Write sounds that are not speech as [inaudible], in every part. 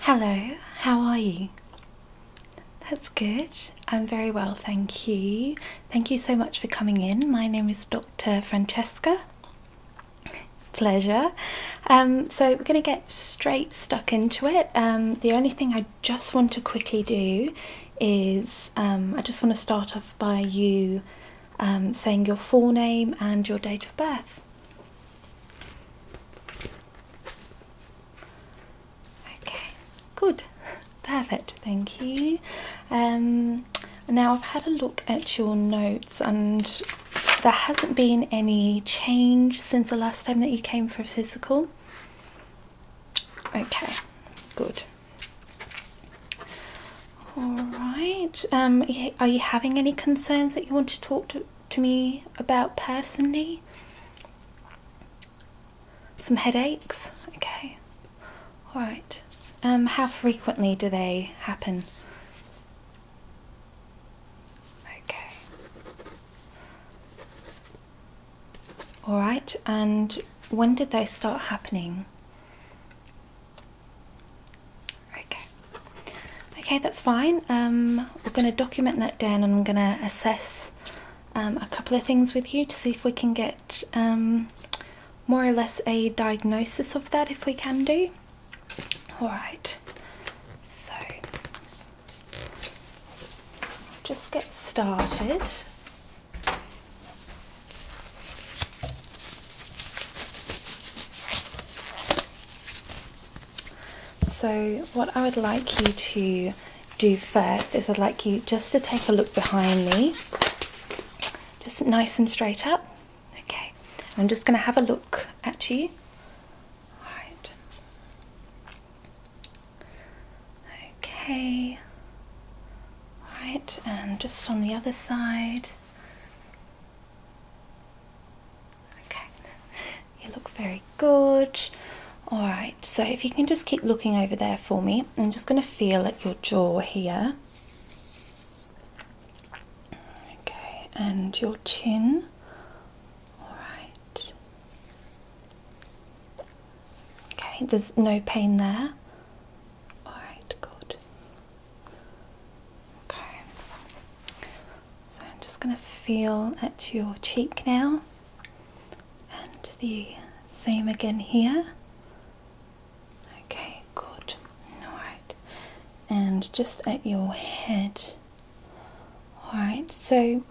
Hello, how are you? That's good. I'm very well, thank you. Thank you so much for coming in. My name is Dr. Francesca. Pleasure. Um, so, we're going to get straight stuck into it. Um, the only thing I just want to quickly do is um, I just want to start off by you saying your full name and your date of birth. Okay, good, perfect, thank you. Um, now I've had a look at your notes, and there hasn't been any change since the last time that you came for a physical. Okay, good. All right. Um, are you having any concerns that you want to talk to to me about personally? Some headaches? Okay. Alright. Um, how frequently do they happen? Okay. Alright, and when did they start happening? Okay. Okay, that's fine. Um, we're going to document that down and I'm going to assess um, a couple of things with you to see if we can get um, more or less a diagnosis of that if we can do. Alright, so just get started. So, what I would like you to do first is I'd like you just to take a look behind me, just nice and straight up. Okay, I'm just going to have a look at you. All right. Okay. All right, and just on the other side. Okay, you look very good. All right, so if you can just keep looking over there for me, I'm just going to feel at your jaw here. Okay, and your chin. All right. Okay, there's no pain there. All right, good. Okay. So I'm just going to feel at your cheek now and the same again here. Okay, good. Alright, and just at your head. Alright, so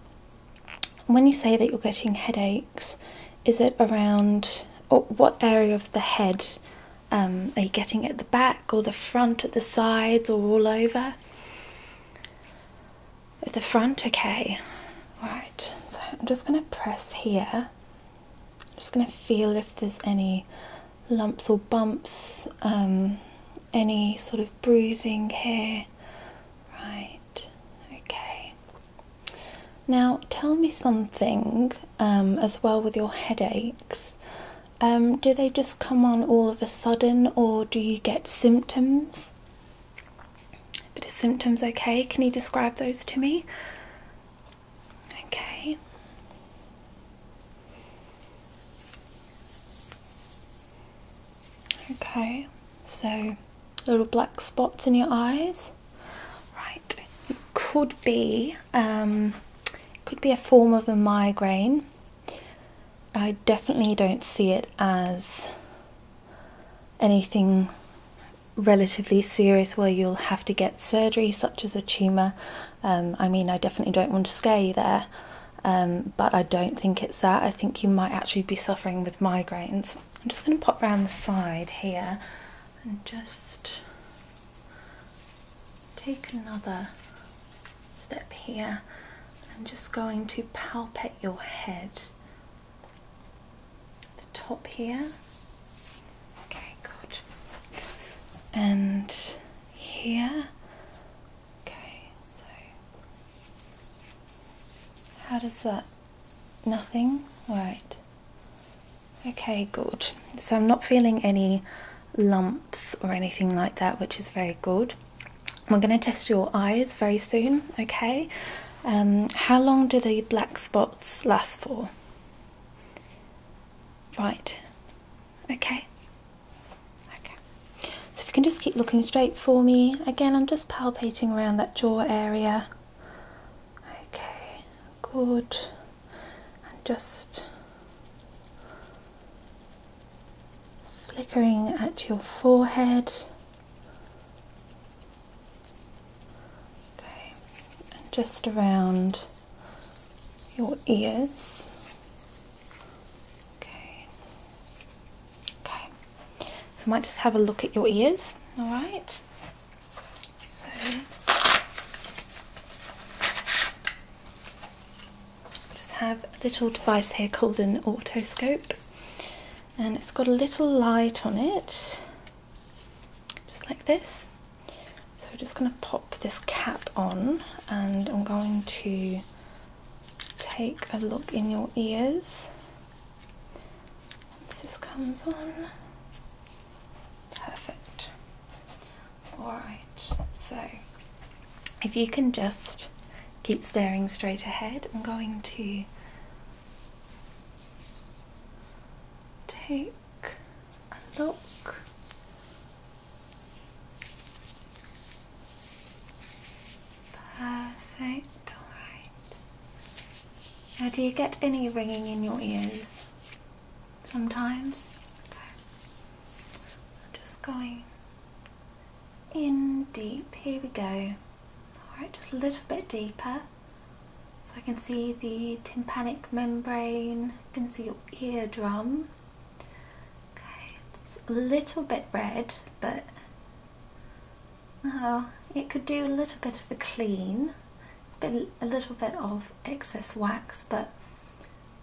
when you say that you're getting headaches, is it around what area of the head um, are you getting it at the back or the front, at the sides, or all over? At the front, okay. Right, so I'm just going to press here. I'm just going to feel if there's any lumps or bumps, um, any sort of bruising here. Right, okay. Now, tell me something um, as well with your headaches. Um, do they just come on all of a sudden or do you get symptoms? But is symptoms okay? Can you describe those to me? Okay. Okay, so little black spots in your eyes. Right, it could be um, could be a form of a migraine. I definitely don't see it as anything relatively serious where you'll have to get surgery, such as a tumour. Um, I mean, I definitely don't want to scare you there, um, but I don't think it's that. I think you might actually be suffering with migraines. I'm just going to pop round the side here and just take another step here. I'm just going to palpate your head, the top here. Okay, good. And here. Okay, so how does that? Nothing? Right. Okay, good. So I'm not feeling any lumps or anything like that, which is very good. We're going to test your eyes very soon, okay? Um, how long do the black spots last for? Right, okay. Okay, so if you can just keep looking straight for me. Again, I'm just palpating around that jaw area. Okay, good and just flickering at your forehead. Okay, and just around your ears. Okay. Okay. So I might just have a look at your ears, all right? So just have a little device here called an otoscope, and it's got a little light on it just like this so I'm just going to pop this cap on and I'm going to take a look in your ears once this comes on perfect Alright, so if you can just keep staring straight ahead, I'm going to take a look. Perfect, alright. Now, do you get any ringing in your ears? sometimes. I'm just going in deep. Here we go. Alright, just a little bit deeper. So I can see the tympanic membrane, I can see your eardrum. Okay, it's a little bit red, but oh, it could do a little bit of a clean, a little bit of excess wax, but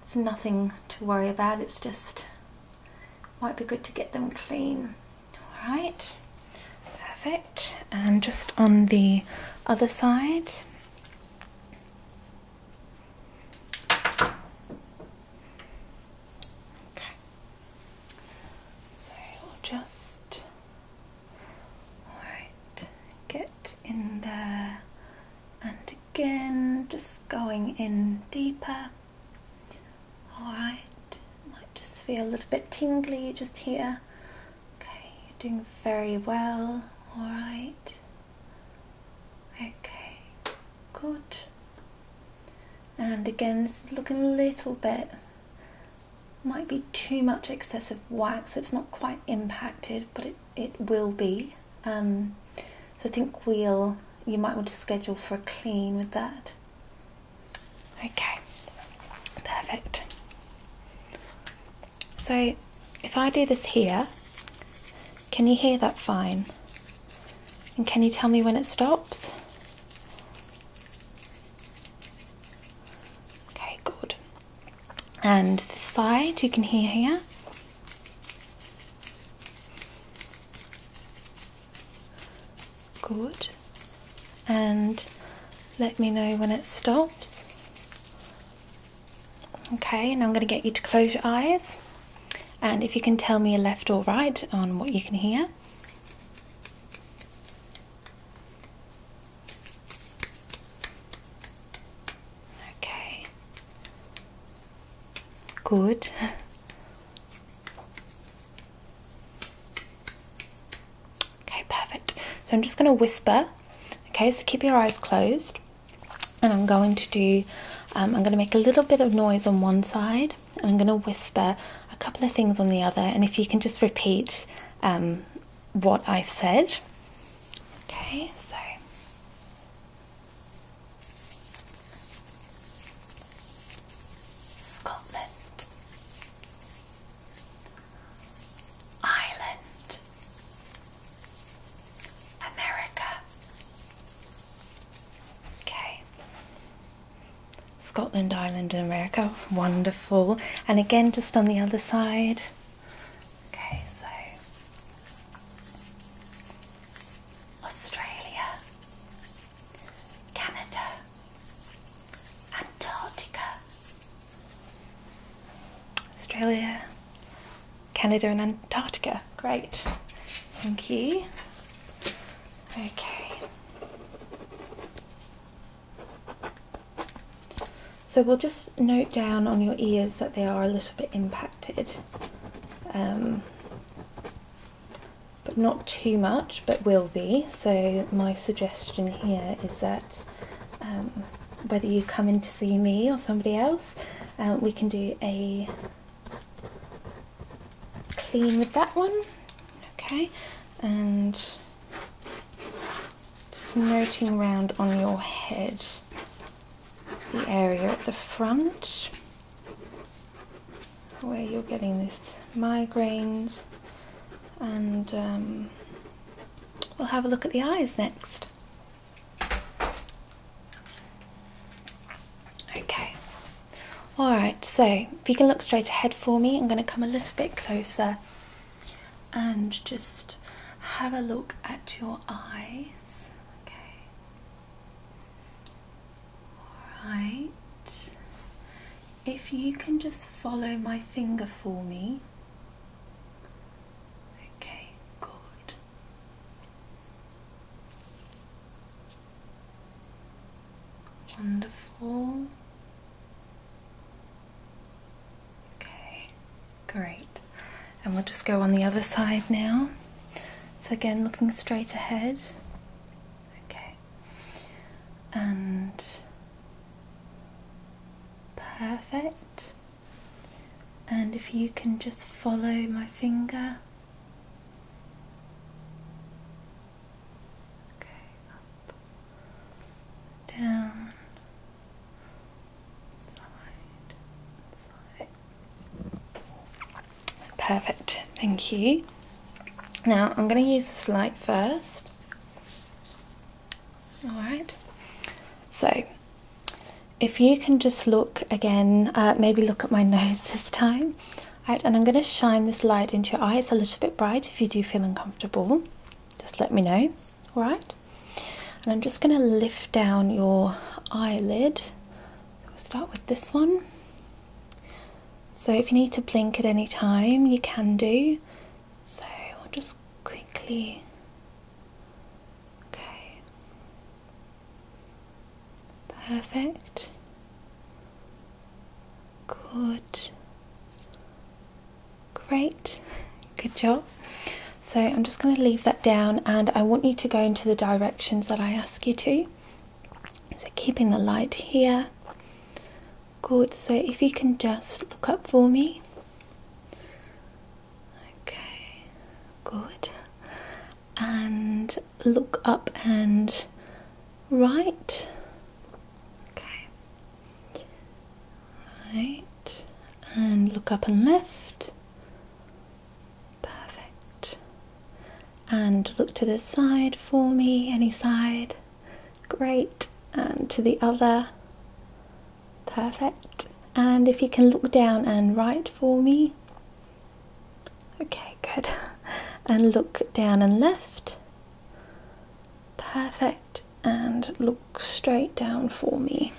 it's nothing to worry about it's just might be good to get them clean all right perfect and just on the other side okay so we'll just all right get in there and again just going in deeper alright might just feel a little bit tingly just here okay doing very well alright okay good and again this is looking a little bit might be too much excessive wax it's not quite impacted but it it will be. Um, so I think we'll you might want to schedule for a clean with that. Okay, perfect. So if I do this here, can you hear that fine? And can you tell me when it stops? Okay, good and the side you can hear here good and let me know when it stops okay and i'm going to get you to close your eyes and if you can tell me left or right on what you can hear Okay. Good. [laughs] okay, perfect. So I'm just going to whisper. Okay, so keep your eyes closed. And I'm going to do, um, I'm going to make a little bit of noise on one side and I'm going to whisper a couple of things on the other. And if you can just repeat um, what I've said. Okay, so Scotland, Ireland, America. Okay. Scotland, Ireland, and America. Wonderful. And again, just on the other side. Okay, so Australia, Canada, Antarctica. Australia, Canada, and Antarctica. Great, thank you. Okay. So we'll just note down on your ears that they are a little bit impacted, um, but not too much, but will be. So my suggestion here is that um, whether you come in to see me or somebody else, uh, we can do a clean with that one, okay, and just noting around on your head the area at the front where you're getting these migraines and um, we'll have a look at the eyes next. Okay, alright, so if you can look straight ahead for me, I'm going to come a little bit closer and just have a look at your eyes. Okay. Alright. If you can just follow my finger for me. Okay, good. Wonderful. Okay, great. And we'll just go on the other side now. So, again, looking straight ahead. Okay. And perfect. And if you can just follow my finger. Okay, up, down, Perfect, thank you. Now I'm going to use this light first. Alright, so if you can just look again, uh, maybe look at my [laughs] nose this time. Right, and I'm going to shine this light into your eyes a little bit bright if you do feel uncomfortable. Just let me know all right and i'm just going to lift down your eyelid we'll start with this one so if you need to blink at any time you can do so i'll just quickly okay perfect good Great, good job. So I'm just going to leave that down and I want you to go into the directions that I ask you to. So keeping the light here. Good, so if you can just look up for me. Okay, good. And look up and right. Okay, Right, and look up and left. Perfect. And look to this side for me, any side. Great. And to the other. Perfect. And if you can look down and right for me. Okay, [laughs] good. And look down and left. Perfect and look straight down for me.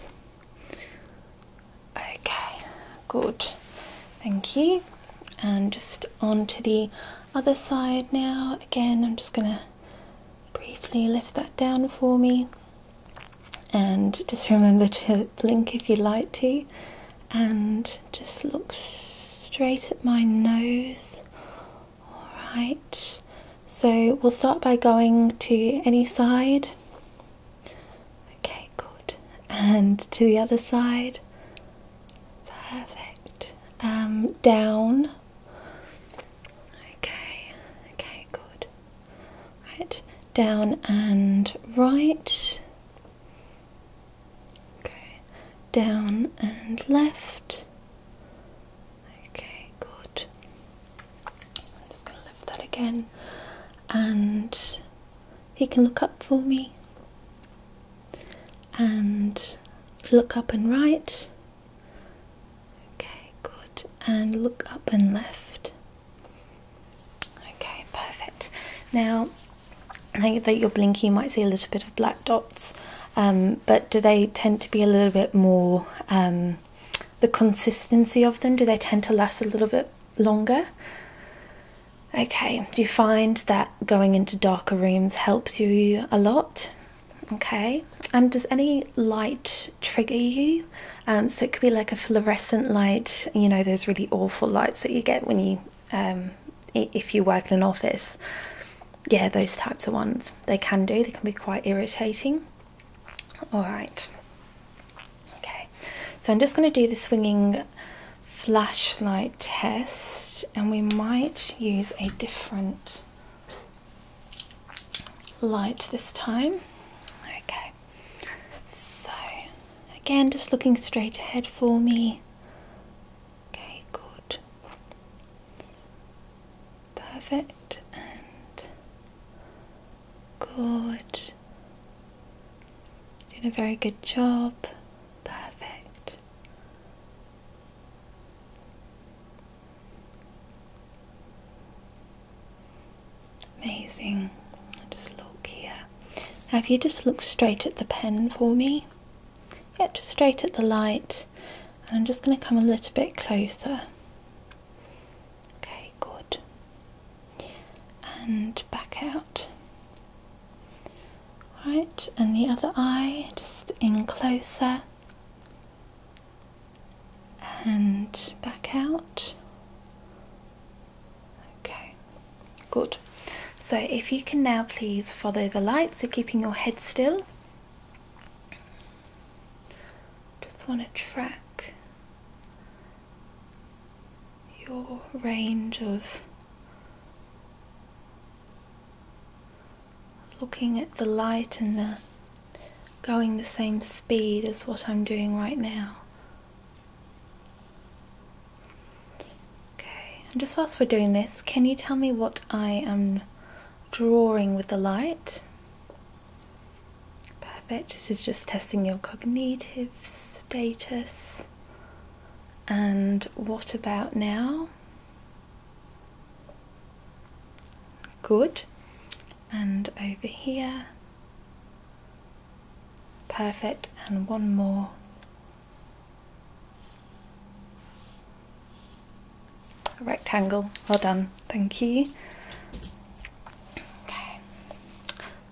Okay, good. Thank you. And just on to the other side now. Again, I'm just going to briefly lift that down for me. And just remember to blink if you like to. And just look straight at my nose Alright, so we'll start by going to any side. Okay, good. And to the other side. Perfect. Um, down. Okay, okay, good. Right, down and right. Okay, down and left. Okay, good. I'm just going to lift that again, and you can look up for me and look up and right. Okay, good. And look up and left. Okay, perfect. Now, I think that you're blinking, you might see a little bit of black dots. Um, but do they tend to be a little bit more um, the consistency of them? Do they tend to last a little bit longer? Okay, do you find that going into darker rooms helps you a lot? Okay, and does any light trigger you? Um, so it could be like a fluorescent light, you know, those really awful lights that you get when you, um, if you work in an office yeah, those types of ones. They can do, they can be quite irritating. All right. Okay, so I'm just going to do the swinging flashlight test and we might use a different light this time. Okay, so again, just looking straight ahead for me. Okay, good. Perfect and good. Doing a very good job. Perfect. Amazing. just look here. Now, if you just look straight at the pen for me, yeah, straight at the light and I'm just going to come a little bit closer. Okay, good. And back out. Right, and the other eye just in closer and back out. Okay, good. So if you can now please follow the lights, so keeping your head still just want to track your range of looking at the light and the going the same speed as what I'm doing right now. Okay, and just whilst we're doing this, can you tell me what I am drawing with the light. Perfect. This is just testing your cognitive status. And what about now? Good. And over here. Perfect. And one more. A rectangle. Well done. Thank you. Okay.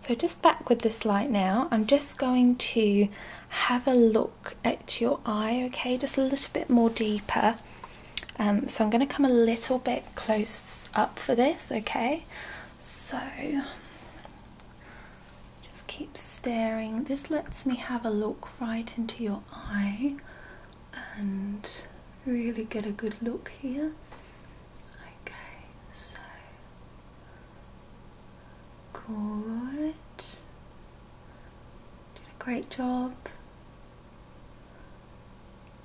So just back with this light now. I'm just going to have a look at your eye, okay? Just a little bit more deeper. Um, so I'm going to come a little bit close up for this, okay? So just keep staring. This lets me have a look right into your eye and really get a good look here. Okay, so good. Did a great job.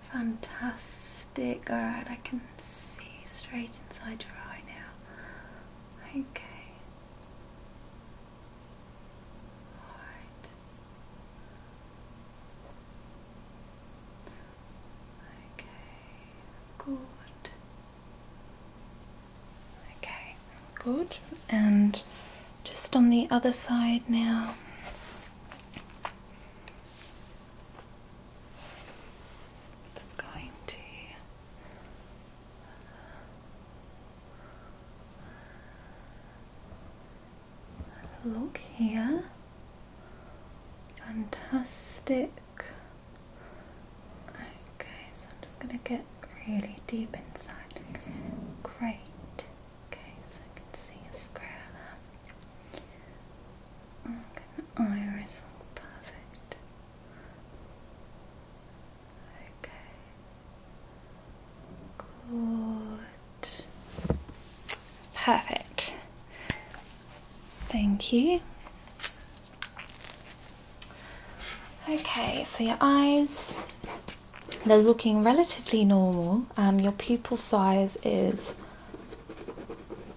Fantastic. Alright, I can see straight inside your eye now. Okay. All right. Okay, good. Okay, good. And just on the other side now. just going to Look here. Fantastic. Okay, so I'm just going to get really deep inside. Great. Okay, so I can see a square there. Okay, iris, perfect. Okay. Good. Perfect. Thank you. Okay, so your eyes, they're looking relatively normal. Um, your pupil size is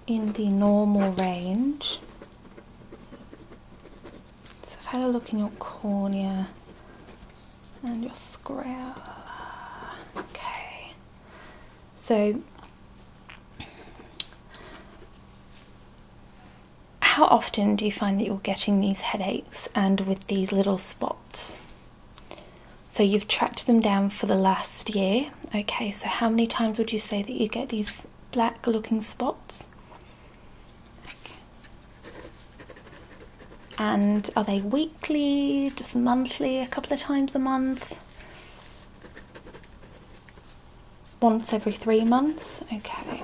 in the normal range. So I've had a look in your cornea and your square. Okay, so how often do you find that you're getting these headaches and with these little spots? So you've tracked them down for the last year. Okay, so how many times would you say that you get these black looking spots? And are they weekly, just monthly, a couple of times a month? Once every three months? Okay.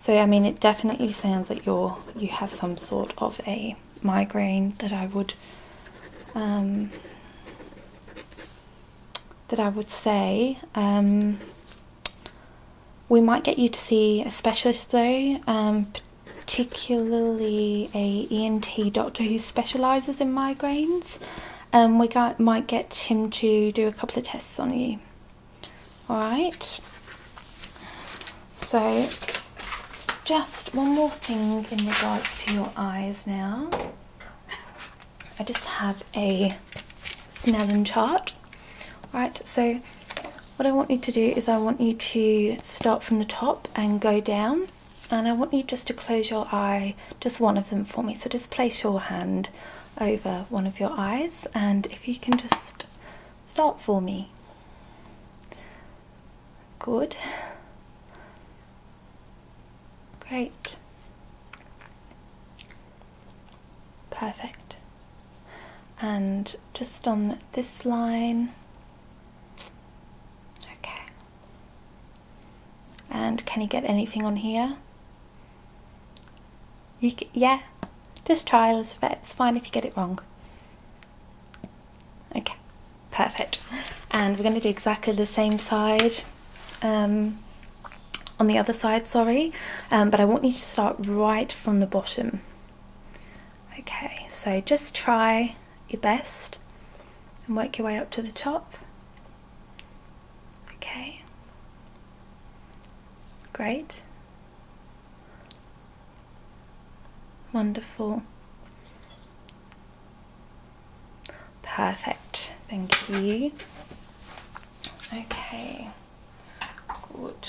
So I mean it definitely sounds like you're you have some sort of a migraine that I would um, that I would say um, we might get you to see a specialist though, um, particularly a ENT doctor who specialises in migraines. Um, we got, might get him to do a couple of tests on you. Alright. So, just one more thing in regards to your eyes now. I just have a Snellen chart Right, so what I want you to do is I want you to start from the top and go down and I want you just to close your eye, just one of them for me. So just place your hand over one of your eyes and if you can just start for me. Good. Great. Perfect. And just on this line. Okay. And can you get anything on here? You yeah, just try, Elizabeth. It's fine if you get it wrong. Okay, perfect. And we're going to do exactly the same side. Um, on the other side, sorry, um, but I want you to start right from the bottom. Okay, so just try your best and work your way up to the top. Okay, great, wonderful, perfect, thank you. Okay. Good.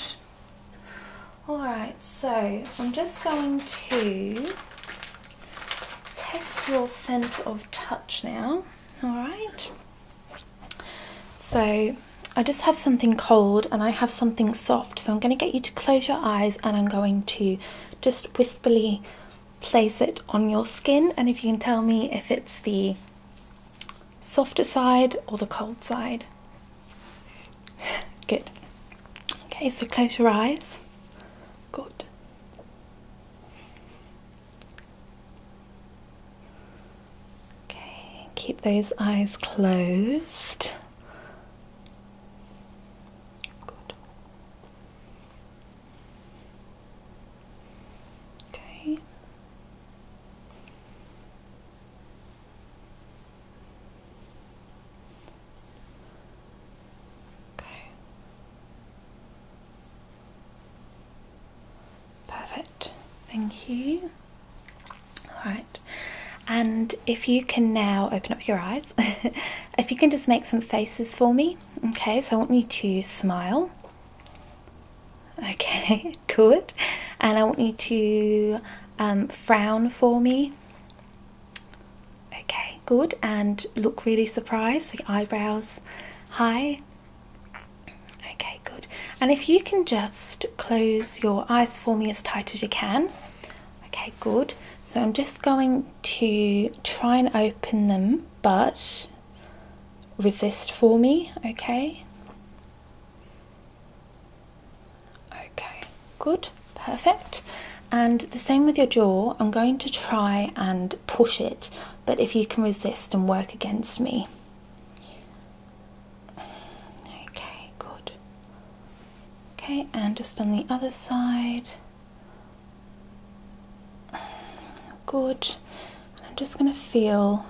Alright, so I'm just going to test your sense of touch now. Alright. So I just have something cold and I have something soft. So I'm going to get you to close your eyes and I'm going to just wistfully place it on your skin. And if you can tell me if it's the softer side or the cold side? Good. Okay, so close your eyes. Good. Okay, keep those eyes closed. Good. Okay. Okay. Perfect. Thank you. All right. And if you can now open up your eyes, [laughs] if you can just make some faces for me, okay? So I want you to smile. [laughs] Okay, good. And I want you to um, frown for me. Okay, good. And look really surprised. So eyebrows high. Okay, good. And if you can just close your eyes for me as tight as you can. Okay, good. So I'm just going to try and open them, but resist for me, okay? Okay, good, perfect. And the same with your jaw, I'm going to try and push it, but if you can resist and work against me. Okay, good. Okay, and just on the other side. Good. I'm just going to feel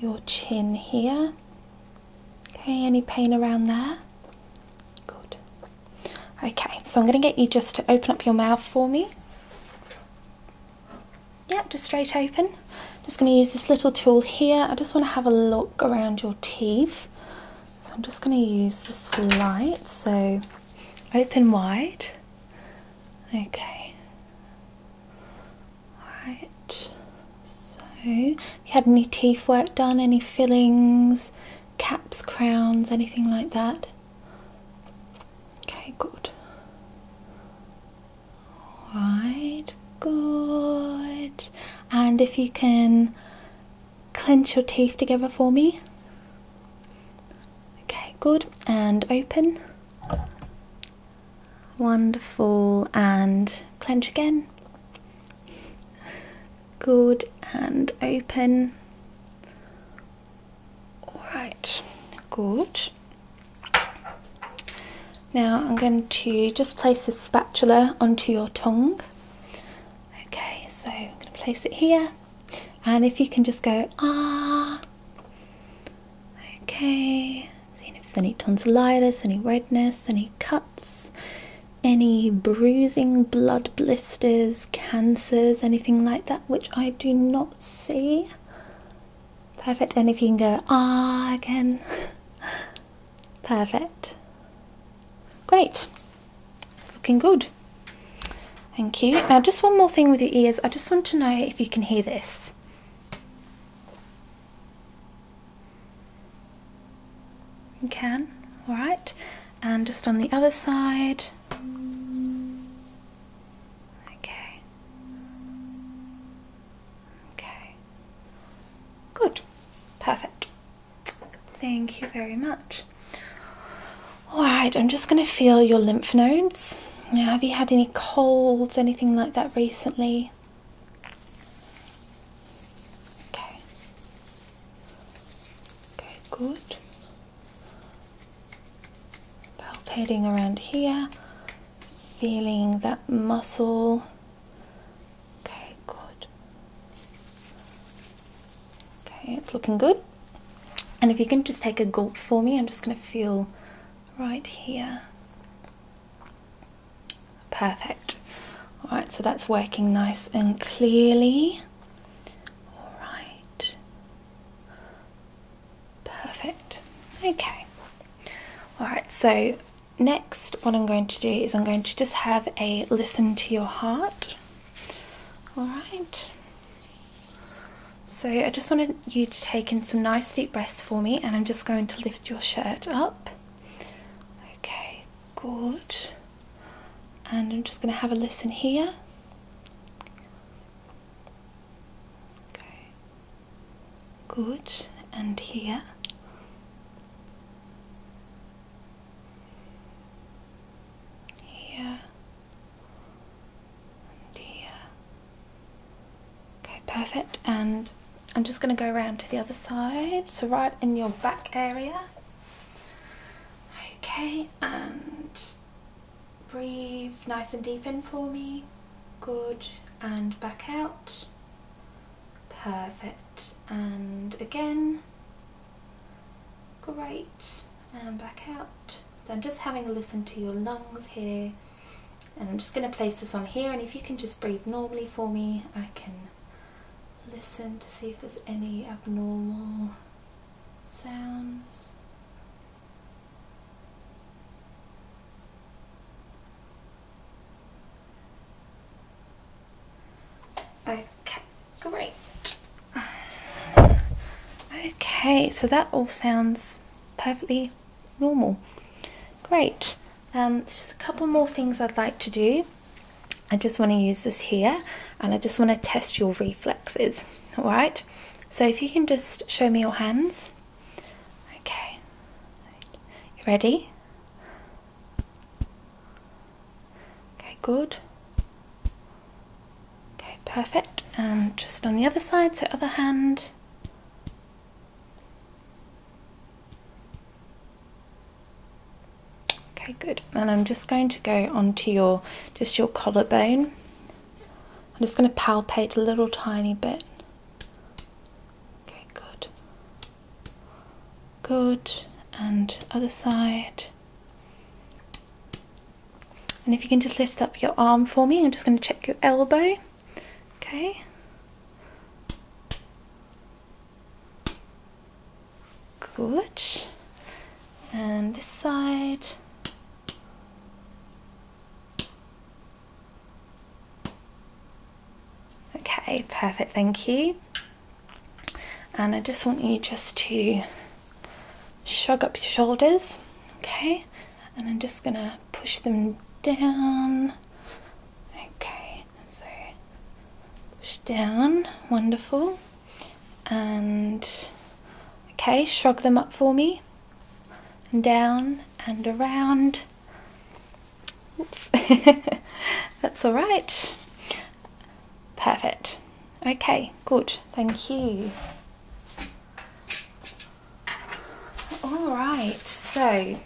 your chin here. Okay, any pain around there? Good. Okay, so I'm going to get you just to open up your mouth for me. Yep, just straight open. Just going to use this little tool here. I just want to have a look around your teeth. So I'm just going to use this light. So open wide. Okay. Alright, so have you had any teeth work done, any fillings, caps, crowns, anything like that? Okay, good. Alright, good. And if you can clench your teeth together for me. Okay, good. And open. Wonderful. And clench again. Good and open. Alright, good. Now I'm going to just place this spatula onto your tongue. Okay, so I'm going to place it here. And if you can just go, ah, Okay, seeing if there's any tonsillitis, any redness, any cuts, any bruising, blood blisters, cancers, anything like that, which I do not see. Perfect. And if you can go, ah, again. [laughs] Perfect. Great. It's looking good. Thank you. Now, just one more thing with your ears. I just want to know if you can hear this this. You can, alright. And just on the other side. Okay. Okay. Good. Perfect. Thank you very much. Alright, I'm just going to feel your lymph nodes have you had any colds, anything like that recently? Okay. Okay, good. Palpating around here, feeling that muscle. Okay, good. Okay, it's looking good. And if you can just take a gulp for me, I'm just going to feel right here. Perfect. Alright, so that's working nice and clearly. Alright. Perfect. Okay. Alright, so next what I'm going to do is I'm going to just have a listen to your heart. Alright. So I just wanted you to take in some nice deep breaths for me and I'm just going to lift your shirt up. Okay, good. And I'm just going to have a listen here. Okay. Good. And here. Here here. Okay, perfect. And I'm just going to go around to the other side, so right in your back area. Okay, and breathe nice and deep in for me. Good, and back out. Perfect, and again. Great and um, back out. So I'm just having a listen to your lungs here and I'm just going to place this on here and if you can just breathe normally for me I can listen to see if there's any abnormal sounds. Okay, great. Okay, so that all sounds perfectly normal. Great. Um, just a couple more things I'd like to do. I just want to use this here and I just want to test your reflexes. [laughs] All right. So if you can just show me your hands. Okay. You ready? Okay, good. Okay, perfect. And just on the other side, so other hand. Okay, good. And I'm just going to go onto your, just your collarbone. I'm just going to palpate a little tiny bit. Okay, good. Good. And other side. And if you can just lift up your arm for me, I'm just going to check your elbow. Okay. Good. And this side. Okay, perfect, thank you. And I just want you just to shrug up your shoulders, okay? And I'm just gonna push them down. Okay, so push down, wonderful. And okay, shrug them up for me. And down and around. Oops, [laughs] that's all right. Perfect. Okay, good, thank you. All right, so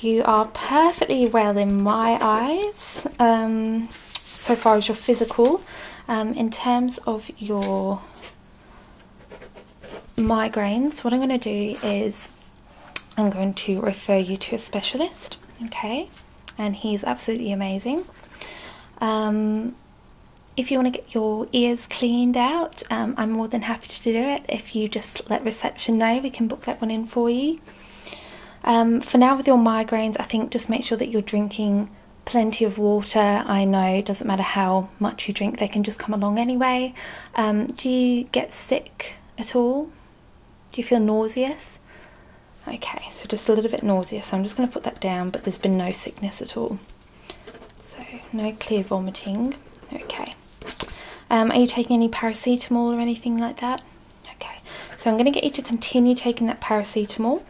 you are perfectly well in my eyes um, so far as your physical. Um, in terms of your migraines, what I'm going to do is I'm going to refer you to a specialist, okay? and he's absolutely amazing. Um, if you want to get your ears cleaned out, um, I'm more than happy to do it. If you just let reception know, we can book that one in for you. Um, for now, with your migraines, I think just make sure that you're drinking plenty of water. I know it doesn't matter how much you drink, they can just come along anyway. do you get sick at all? Do you feel nauseous? Okay, so just a little bit nauseous. So I'm just going to put that down, but there's been no sickness at all. So no clear vomiting. Okay. Um, are you taking any paracetamol or anything like that? Okay. So I'm going to get you to continue taking that paracetamol.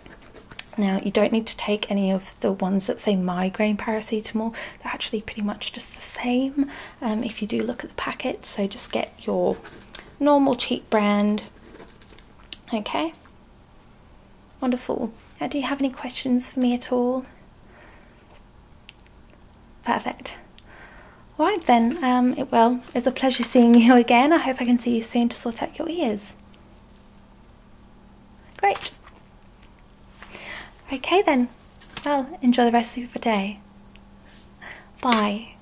Now, you don't need to take any of the ones that say migraine paracetamol. They're actually pretty much just the same um, if you do look at the packet. So just get your normal cheap brand Okay. Wonderful. Uh, do you have any questions for me at all? Perfect. All right then, um, well, it's a pleasure seeing you [laughs] again. I hope I can see you soon to sort out your ears. Great. Okay then, well, enjoy the rest of your day. Bye.